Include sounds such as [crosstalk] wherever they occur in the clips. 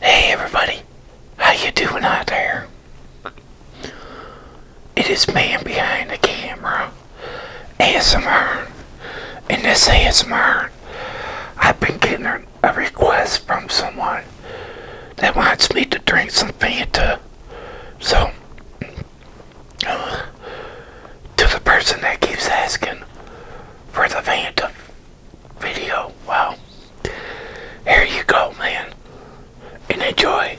Hey everybody, how you doing out there? It is me behind the camera, ASMR, and this ASMR, I've been getting a request from someone that wants me to drink some Fanta, so, uh, to the person that keeps asking, for the Phantom video. Well, here you go, man. And enjoy.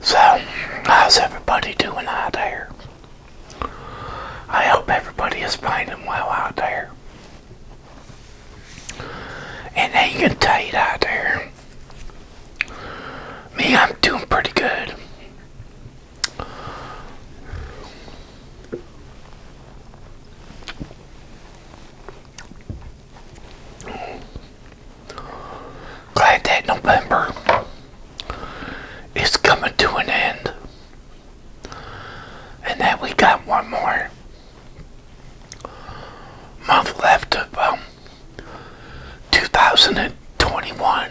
So, how's everybody doing out there? I hope everybody is finding well out there. And they can tight out there. Me, I'm doing pretty good. Glad that November is coming to an end. And that we got one more month left of um, 2021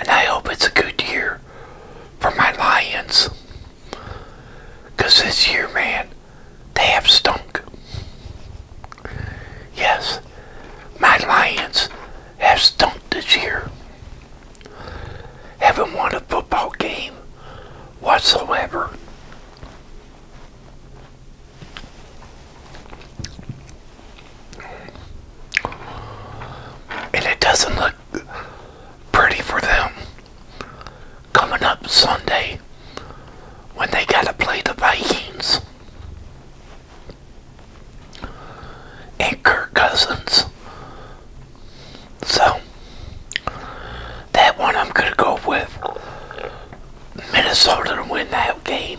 And I hope it's a good year for my Lions. Because this year, man, they have stunk. Yes, my Lions have stunk this year. Haven't won a football game whatsoever. And it doesn't look pretty for them coming up Sunday when they got to play the Vikings. And Kirk Cousins. So, that one I'm going to go with Minnesota to win that game.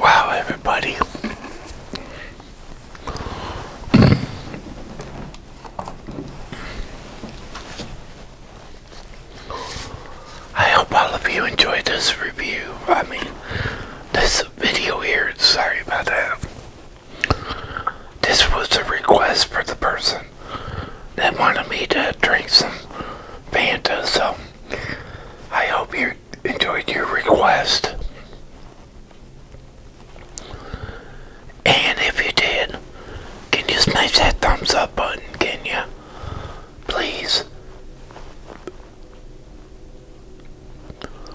Wow, everybody. I hope all of you enjoyed this review. I mean, this video here. Sorry about that. This was a request for the person that wanted me to drink some Fanta, so I hope you are enjoyed your request. And if you did, can you smash that thumbs up button, can you? Please.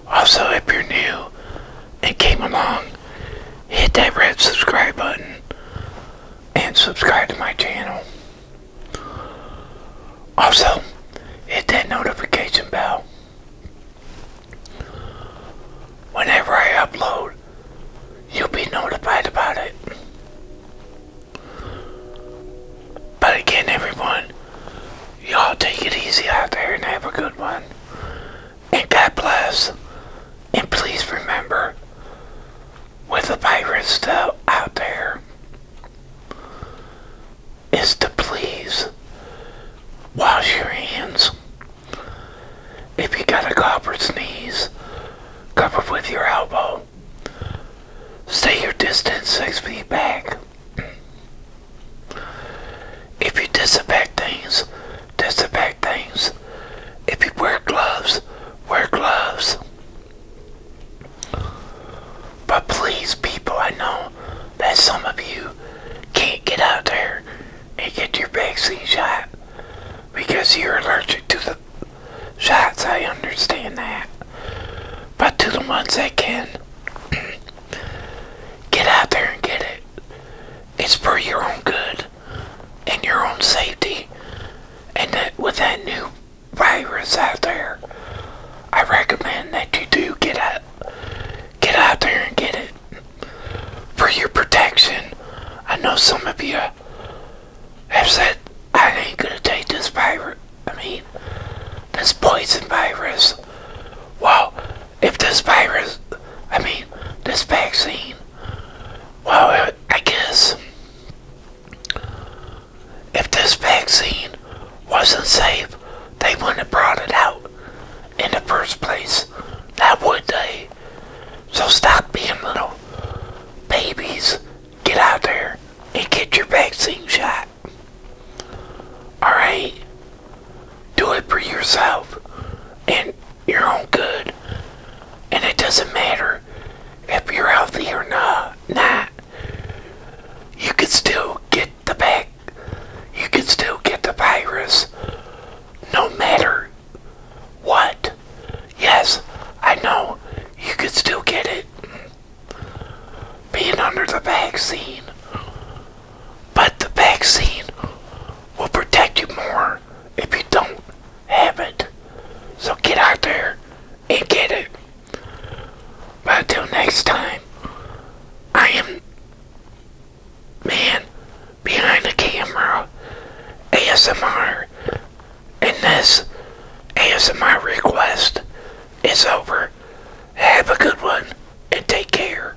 Also, if you're new and came along, hit that red subscribe button and subscribe to my channel. Also, hit that notification bell. Whenever I upload, you'll be notified about it. But again, everyone, y'all take it easy out there and have a good one. And God bless. And please remember, with the virus still out there, is to please wash your hands. If you got a cough or sneeze, cover with your elbow. Stay your distance six feet back. If you disinfect things, disinfect things. If you wear gloves, wear gloves. But please, people, I know that some of you can't get out there and get your vaccine shot because you're allergic to the shots. I understand that. But to the ones that can, [clears throat] get out there and get it. It's for your own good and your own safety. And that with that new virus out there, I recommend that you do get out, get out there and get it for your protection. I know some of you have said, I ain't gonna take this virus, I mean, this poison virus. Well, if this virus, I mean, this vaccine, well, I guess if this vaccine wasn't safe, they wouldn't have brought it out in the first place. Now would they? So stop being little babies. Get out there and get your vaccine shot. Alright? Do it for yourself and your own good. And it doesn't matter if you're healthy or not, not, you could still get the back. You can still get the virus, no matter what. Yes, I know you could still get it being under the vaccine, but the vaccine will protect you more if you don't have it. So get out there and get it. But until next time, I am man behind the camera ASMR and this ASMR request is over. Have a good one and take care.